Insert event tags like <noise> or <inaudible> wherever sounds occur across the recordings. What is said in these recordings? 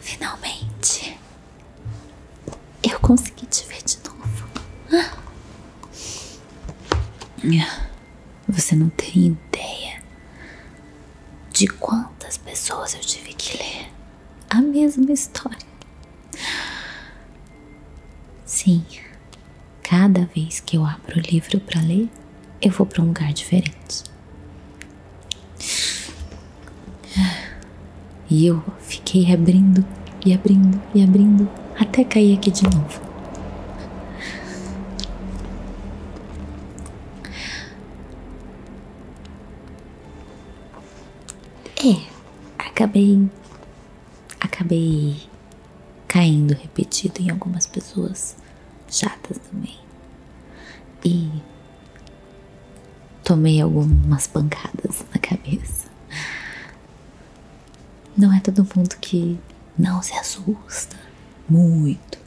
Finalmente, eu consegui te ver de novo. Você não tem ideia de quantas pessoas eu tive que ler a mesma história. Sim, cada vez que eu abro o livro para ler, eu vou para um lugar diferente. E eu fiquei abrindo e abrindo e abrindo até cair aqui de novo. É, acabei. Acabei caindo repetido em algumas pessoas chatas também. E tomei algumas pancadas na cabeça. Não é todo mundo que não se assusta muito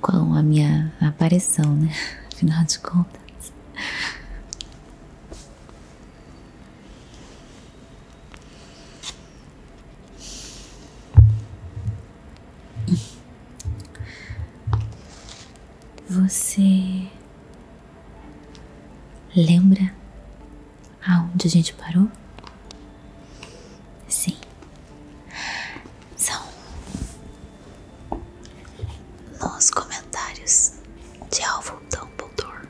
com a minha aparição, né? Afinal de contas. Você lembra aonde a gente parou? Sim são nos comentários de Alvo Dumbledore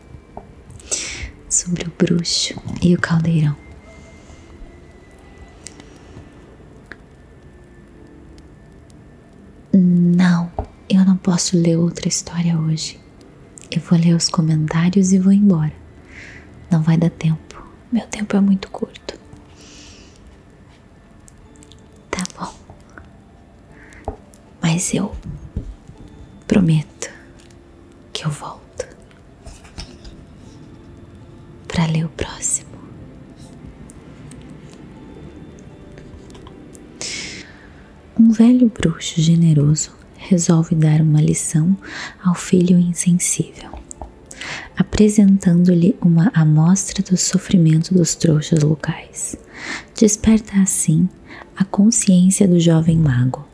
sobre o bruxo e o caldeirão. Não, eu não posso ler outra história hoje. Eu vou ler os comentários e vou embora. Não vai dar tempo. Meu tempo é muito curto. Tá bom. Mas eu prometo que eu volto para ler o próximo. Um velho bruxo generoso resolve dar uma lição ao filho insensível apresentando-lhe uma amostra do sofrimento dos trouxas locais. Desperta assim a consciência do jovem mago,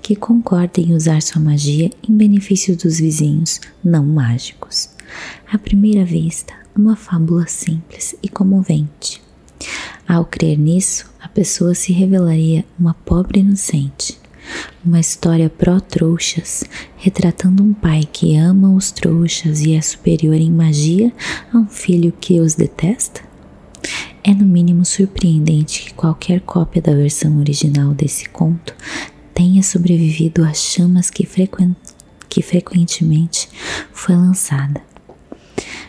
que concorda em usar sua magia em benefício dos vizinhos não mágicos. À primeira vista, uma fábula simples e comovente. Ao crer nisso, a pessoa se revelaria uma pobre inocente, uma história pró-trouxas, retratando um pai que ama os trouxas e é superior em magia a um filho que os detesta? É no mínimo surpreendente que qualquer cópia da versão original desse conto tenha sobrevivido às chamas que, frequentemente foi lançada.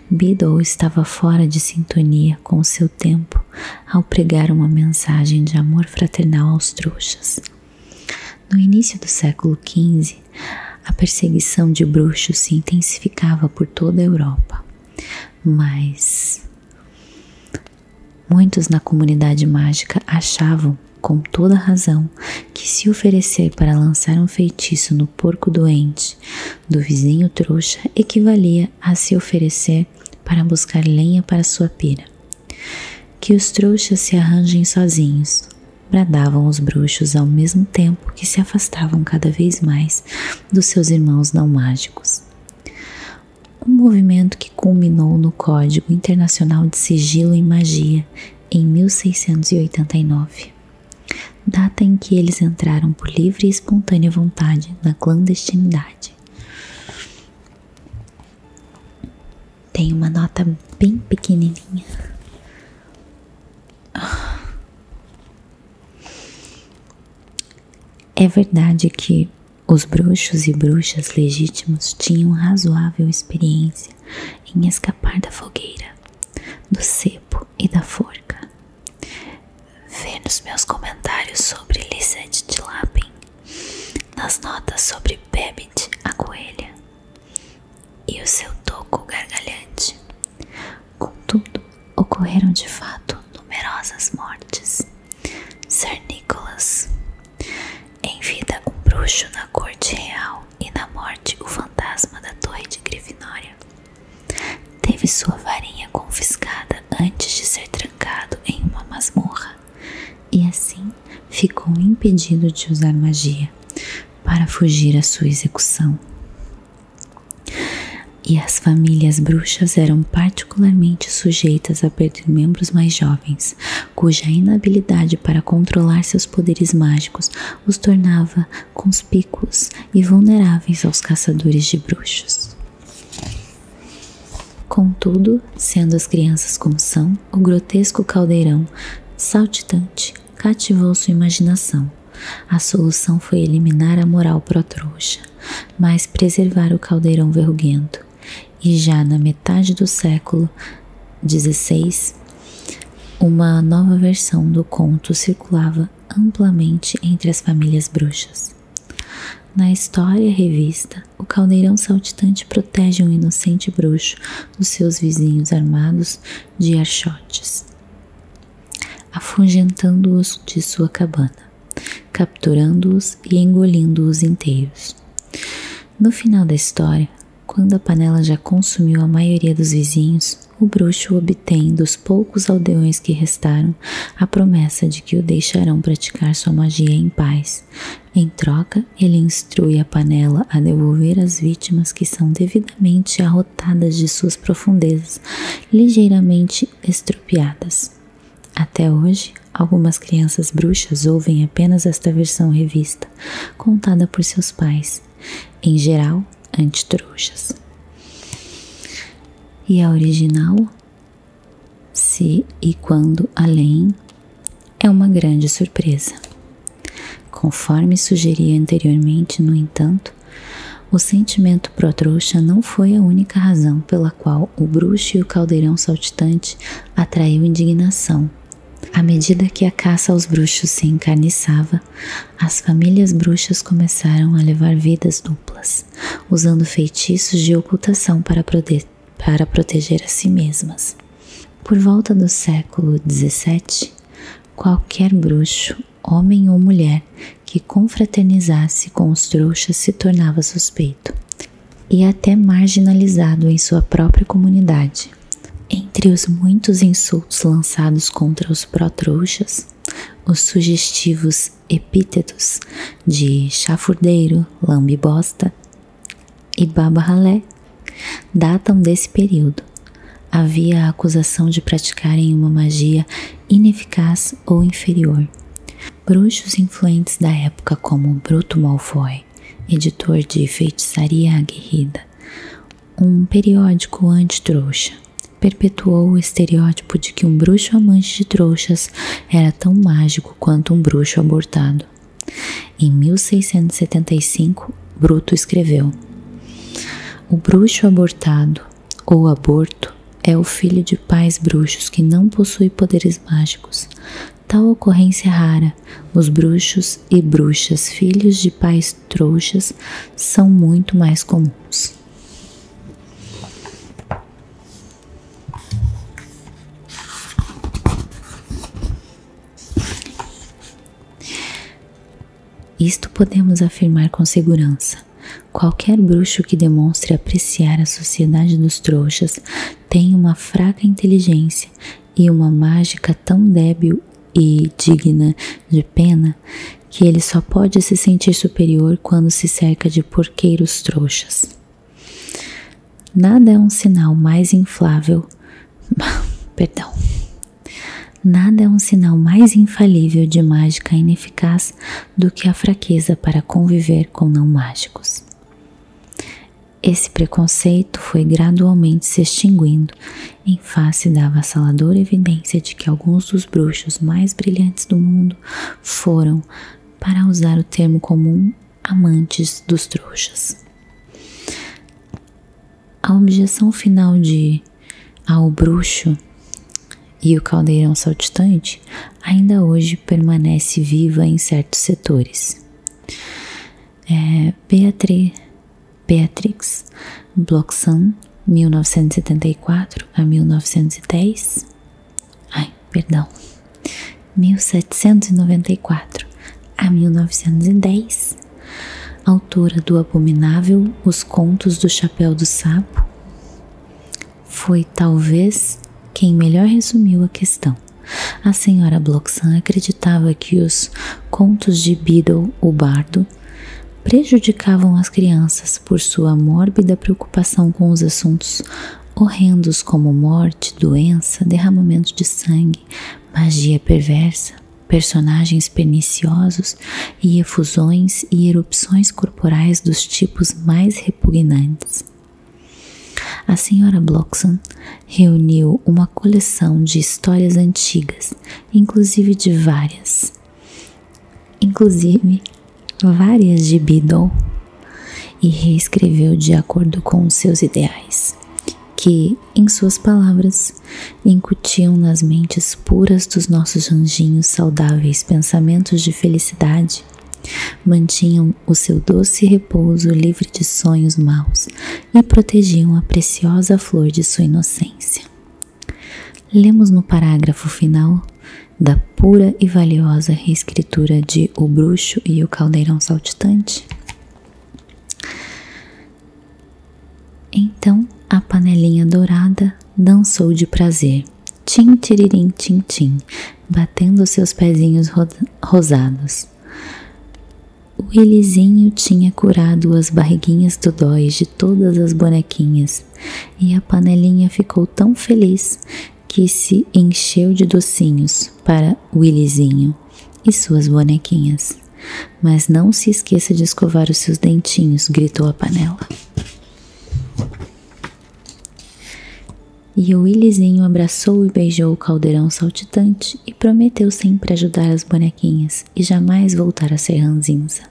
Biddle estava fora de sintonia com seu tempo ao pregar uma mensagem de amor fraternal aos trouxas. No início do século XV, a perseguição de bruxos se intensificava por toda a Europa, mas muitos na comunidade mágica achavam, com toda razão, que se oferecer para lançar um feitiço no porco doente do vizinho trouxa equivalia a se oferecer para buscar lenha para sua pira. Que os trouxas se arranjem sozinhos, bradavam os bruxos ao mesmo tempo que se afastavam cada vez mais dos seus irmãos não mágicos. Um movimento que culminou no Código Internacional de Sigilo em Magia em 1689, data em que eles entraram por livre e espontânea vontade na clandestinidade. Tem uma nota bem pequenininha. É verdade que os bruxos e bruxas legítimos tinham razoável experiência em escapar da fogueira, do cepo e da forca. Vê nos meus comentários sobre Lisette de Lapin nas notas sobre Babbage, a coelha, e o seu toco gargalhante. Contudo, ocorreram de fato numerosas mortes. Sir Nicholas, em vida um bruxo na corte real e na morte o fantasma da torre de Grifinória, teve sua varinha confiscada antes de ser trancado em uma masmorra e assim ficou impedido de usar magia para fugir à sua execução. E as famílias bruxas eram particularmente sujeitas a perder membros mais jovens, cuja inabilidade para controlar seus poderes mágicos os tornava conspícuos e vulneráveis aos caçadores de bruxos. Contudo, sendo as crianças como são, o grotesco caldeirão saltitante cativou sua imaginação. A solução foi eliminar a moral pró-trouxa, mas preservar o caldeirão verruguento. E já na metade do século XVI, uma nova versão do conto circulava amplamente entre as famílias bruxas. Na história revista, o caldeirão saltitante protege um inocente bruxo dos seus vizinhos armados de archotes, afugentando-os de sua cabana, capturando-os e engolindo-os inteiros. No final da história, quando a panela já consumiu a maioria dos vizinhos, o bruxo obtém dos poucos aldeões que restaram a promessa de que o deixarão praticar sua magia em paz, em troca, ele instrui a panela a devolver as vítimas que são devidamente arrotadas de suas profundezas, ligeiramente estropiadas. Até hoje, algumas crianças bruxas ouvem apenas esta versão revista, contada por seus pais, em geral antitruxas. E a original? Se e quando além é uma grande surpresa. Conforme sugeri anteriormente, no entanto, o sentimento pró-trouxa não foi a única razão pela qual o bruxo e o caldeirão saltitante atraíram indignação. À medida que a caça aos bruxos se encarniçava, as famílias bruxas começaram a levar vidas duplas, usando feitiços de ocultação para para proteger a si mesmas. Por volta do século XVII, qualquer bruxo, homem ou mulher, que confraternizasse com os trouxas se tornava suspeito e até marginalizado em sua própria comunidade. Entre os muitos insultos lançados contra os pró-trouxas, os sugestivos epítetos de chafurdeiro, lambibosta e Baba Halé datam desse período. Havia a acusação de praticarem uma magia ineficaz ou inferior. Bruxos influentes da época, como Bruto Malfoy, editor de Feitiçaria Aguerrida, um periódico anti-trouxa, perpetuou o estereótipo de que um bruxo amante de trouxas era tão mágico quanto um bruxo abortado. Em 1675, Bruto escreveu: O bruxo abortado ou aborto é o filho de pais bruxos que não possui poderes mágicos. Tal ocorrência é rara. Os bruxos e bruxas, filhos de pais trouxas, são muito mais comuns. Isto podemos afirmar com segurança. Qualquer bruxo que demonstre apreciar a sociedade dos trouxas tem uma fraca inteligência e uma mágica tão débil e digna de pena que ele só pode se sentir superior quando se cerca de porqueiros trouxas. Nada é um sinal mais inflável. <laughs> Perdão. Nada é um sinal mais infalível de mágica ineficaz do que a fraqueza para conviver com não mágicos. Esse preconceito foi gradualmente se extinguindo em face da avassaladora evidência de que alguns dos bruxos mais brilhantes do mundo foram, para usar o termo comum, amantes dos trouxas. A objeção final de ao bruxo e o caldeirão saltitante ainda hoje permanece viva em certos setores. É, Beatri, Beatrix Bloxam, 1974 a 1910. Ai, perdão. 1794 a 1910, autora do abominável Os Contos do Chapéu do Sapo, foi talvez quem melhor resumiu a questão. A senhora Bloxan acreditava que os contos de Beadle, o bardo, prejudicavam as crianças por sua mórbida preocupação com os assuntos horrendos como morte, doença, derramamento de sangue, magia perversa, personagens perniciosos e efusões e erupções corporais dos tipos mais repugnantes. A senhora Bloxon reuniu uma coleção de histórias antigas, inclusive de várias, inclusive várias de Biddle, e reescreveu de acordo com seus ideais que, em suas palavras, incutiam nas mentes puras dos nossos anjinhos saudáveis pensamentos de felicidade, mantinham o seu doce repouso livre de sonhos maus e protegiam a preciosa flor de sua inocência. Lemos no parágrafo final da pura e valiosa reescritura de O Bruxo e o Caldeirão Saltitante. Então a panelinha dourada dançou de prazer, tim tiririm tim batendo seus pezinhos rosados. O Elizinho tinha curado as barriguinhas do dói de todas as bonequinhas, e a panelinha ficou tão feliz que se encheu de docinhos para o Elizinho e suas bonequinhas. Mas não se esqueça de escovar os seus dentinhos, gritou a panela. E o Willizinho abraçou e beijou o caldeirão saltitante e prometeu sempre ajudar as bonequinhas e jamais voltar a ser ranzinza.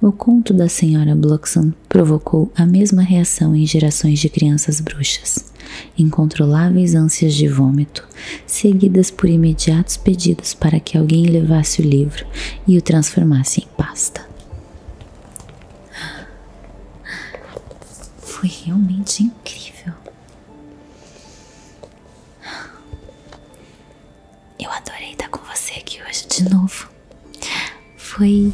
O conto da senhora Bloxham provocou a mesma reação em gerações de crianças bruxas, incontroláveis ânsias de vômito, seguidas por imediatos pedidos para que alguém levasse o livro e o transformasse em pasta. Foi realmente incrível. Eu adorei estar com você aqui hoje de novo. Foi.